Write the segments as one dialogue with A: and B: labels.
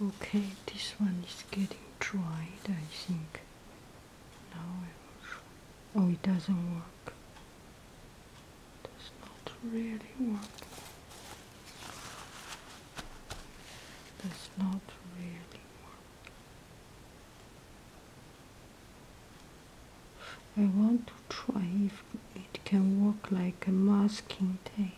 A: Okay, this one is getting dried, I think. Now Oh, it doesn't work. It does not really work. does not really work. I want to try if it can work like a masking tape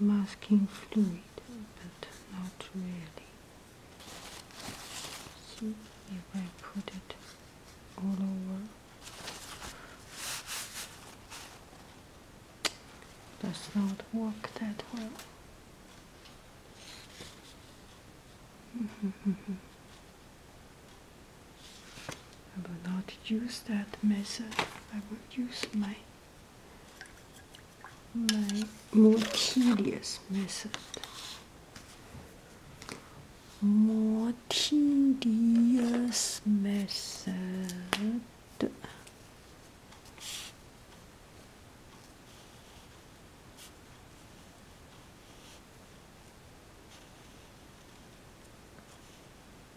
A: masking fluid, but not really. See if I put it all over. Does not work that well. I will not use that method. I will use my my more tedious method. More tedious method.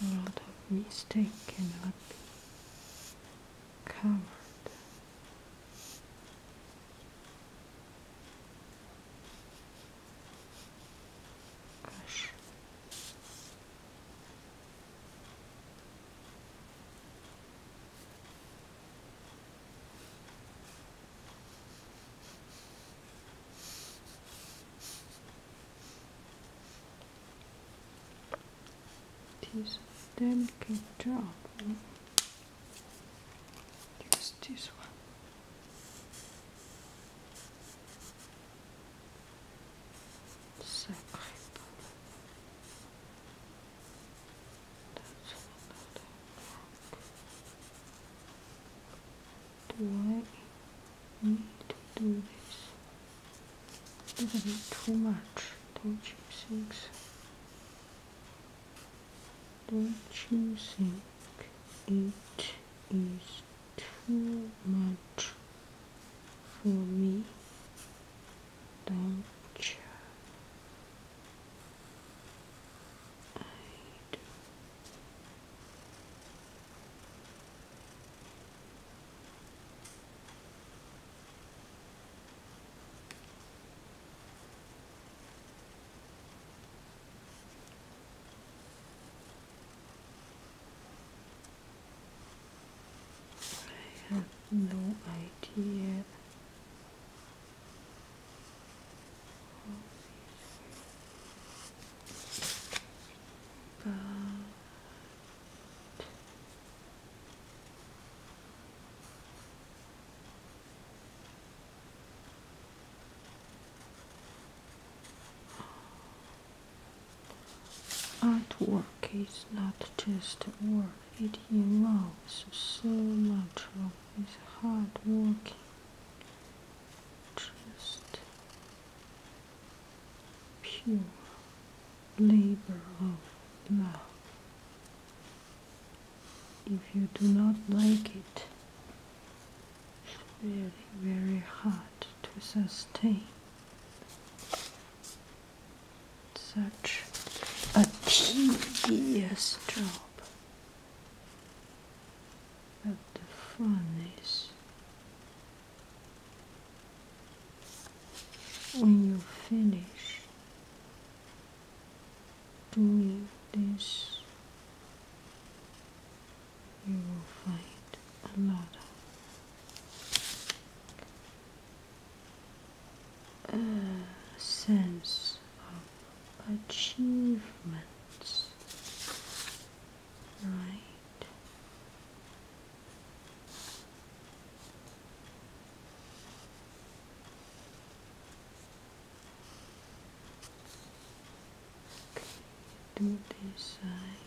A: A lot of mistake cannot be covered. Gosh it is a delicate job just this one Sacré That's another do I need to do this? A little bit too much, don't you think? Don't you think it is too much for me? Don't you? I have no idea artwork is not just work, it involves so much of his hard work just pure labor of love. If you do not like it, it's very, very hard to sustain such a tedious job. But the fun is when you finish doing this you will find a lot of uh, sense achievements, right? Okay, do this side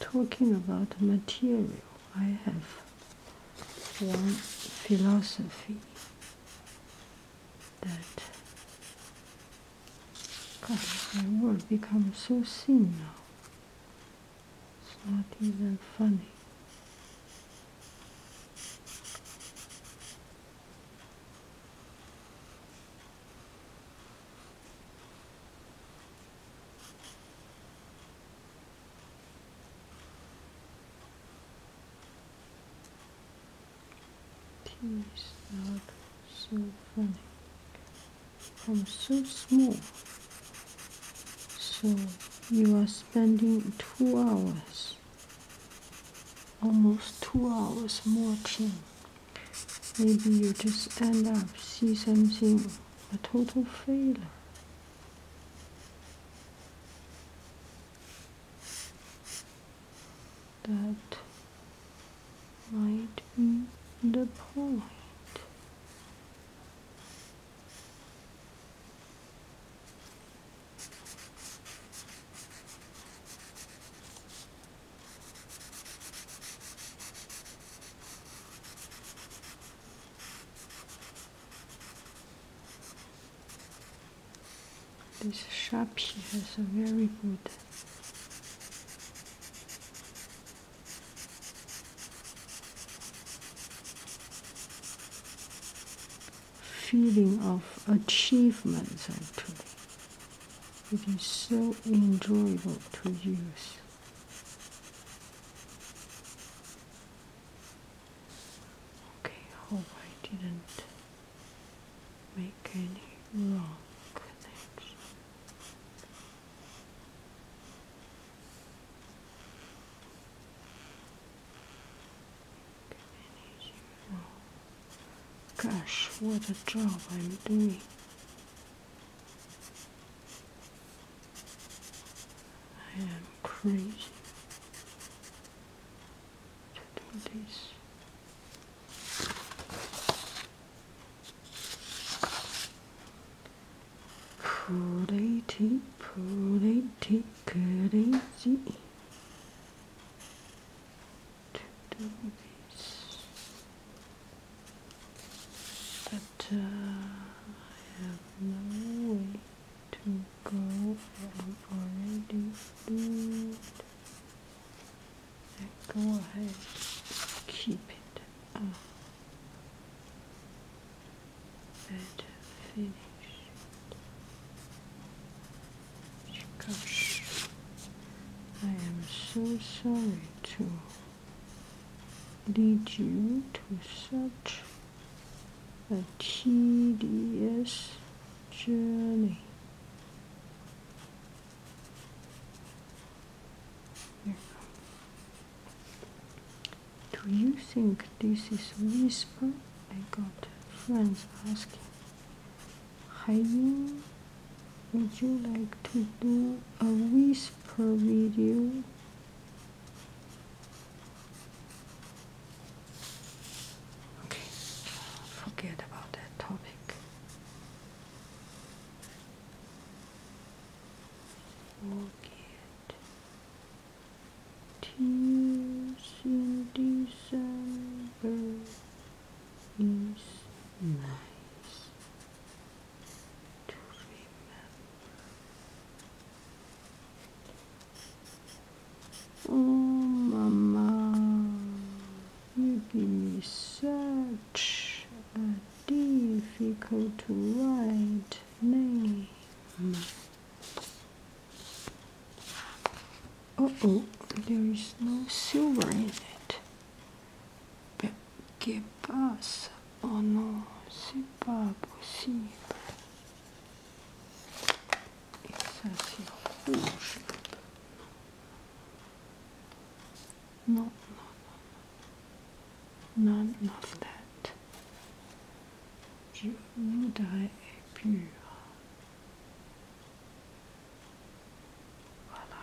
A: talking about material, I have one philosophy that God, my world becomes so seen now. It's not even funny not so funny. I'm so small. So you are spending two hours, almost two hours more watching. Maybe you just end up see something a total failure. That might be the point. This Sharpie has a very good feeling of achievements actually. It is so enjoyable to use. Okay, hope I didn't make any wrong connection. Gosh, what a job I'm doing. I am crazy to do Pretty, pretty crazy to do but uh, I have no way to go. I'm already doomed. Go ahead, keep it up. Better finished. Gosh, I am so sorry too lead you to such a tedious journey. Do you think this is whisper? I got friends asking. 还因 would you like to do a whisper video okay forget about that topic forget tears is nice Oh, Mama, you give me such a difficult to write name. oh, there is no silver in it. qui passe. Oh non, c'est pas possible. Et ça, c'est rouge. Non, non, non. None of that. Je voudrais pur. Voilà.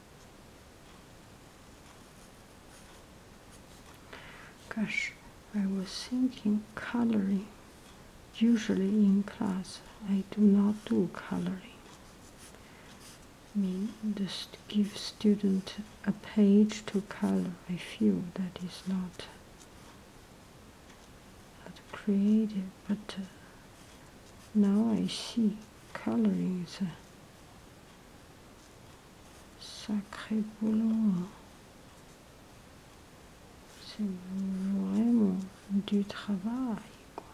A: Gosh, I was thinking coloring. Usually in class, I do not do coloring. I mean, just give student a page to color. I feel that is not not creative, but uh, now I see calories. Sacré boulot. Hein. C'est vraiment du travail. Quoi.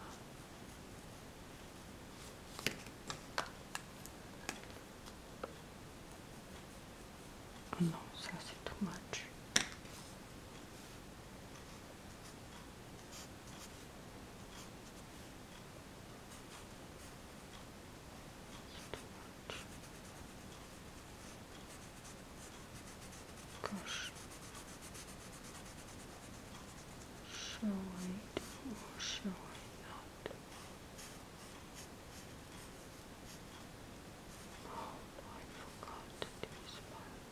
A: Oh non, ça c'est trop match. Gosh. Shall I do or shall I not? Oh, I forgot to do this part.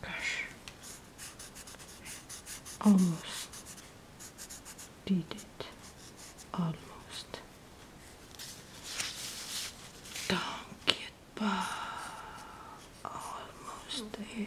A: Gosh, almost did it. Almost. Don't get back. Almost there.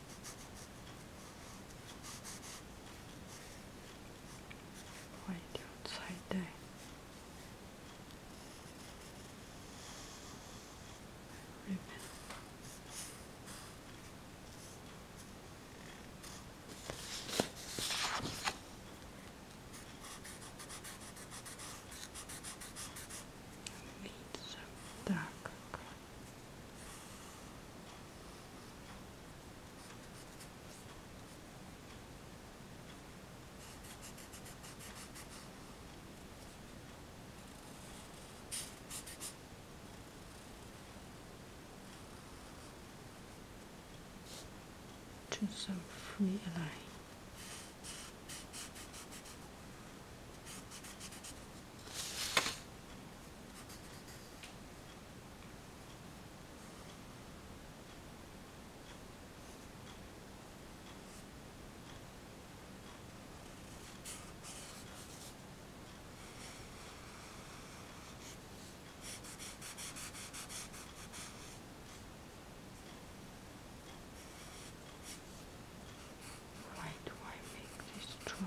A: пойдет сайдай. Ribbon. Видится, да, как to some free align. Why do I make this trouble?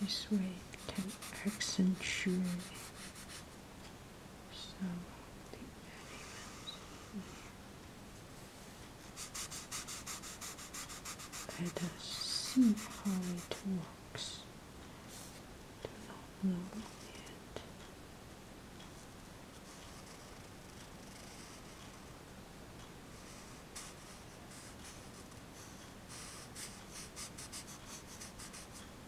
A: This way can accentuate so deep that even Let us see how it works. Do not know yet.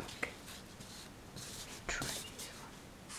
A: Okay. Try this one.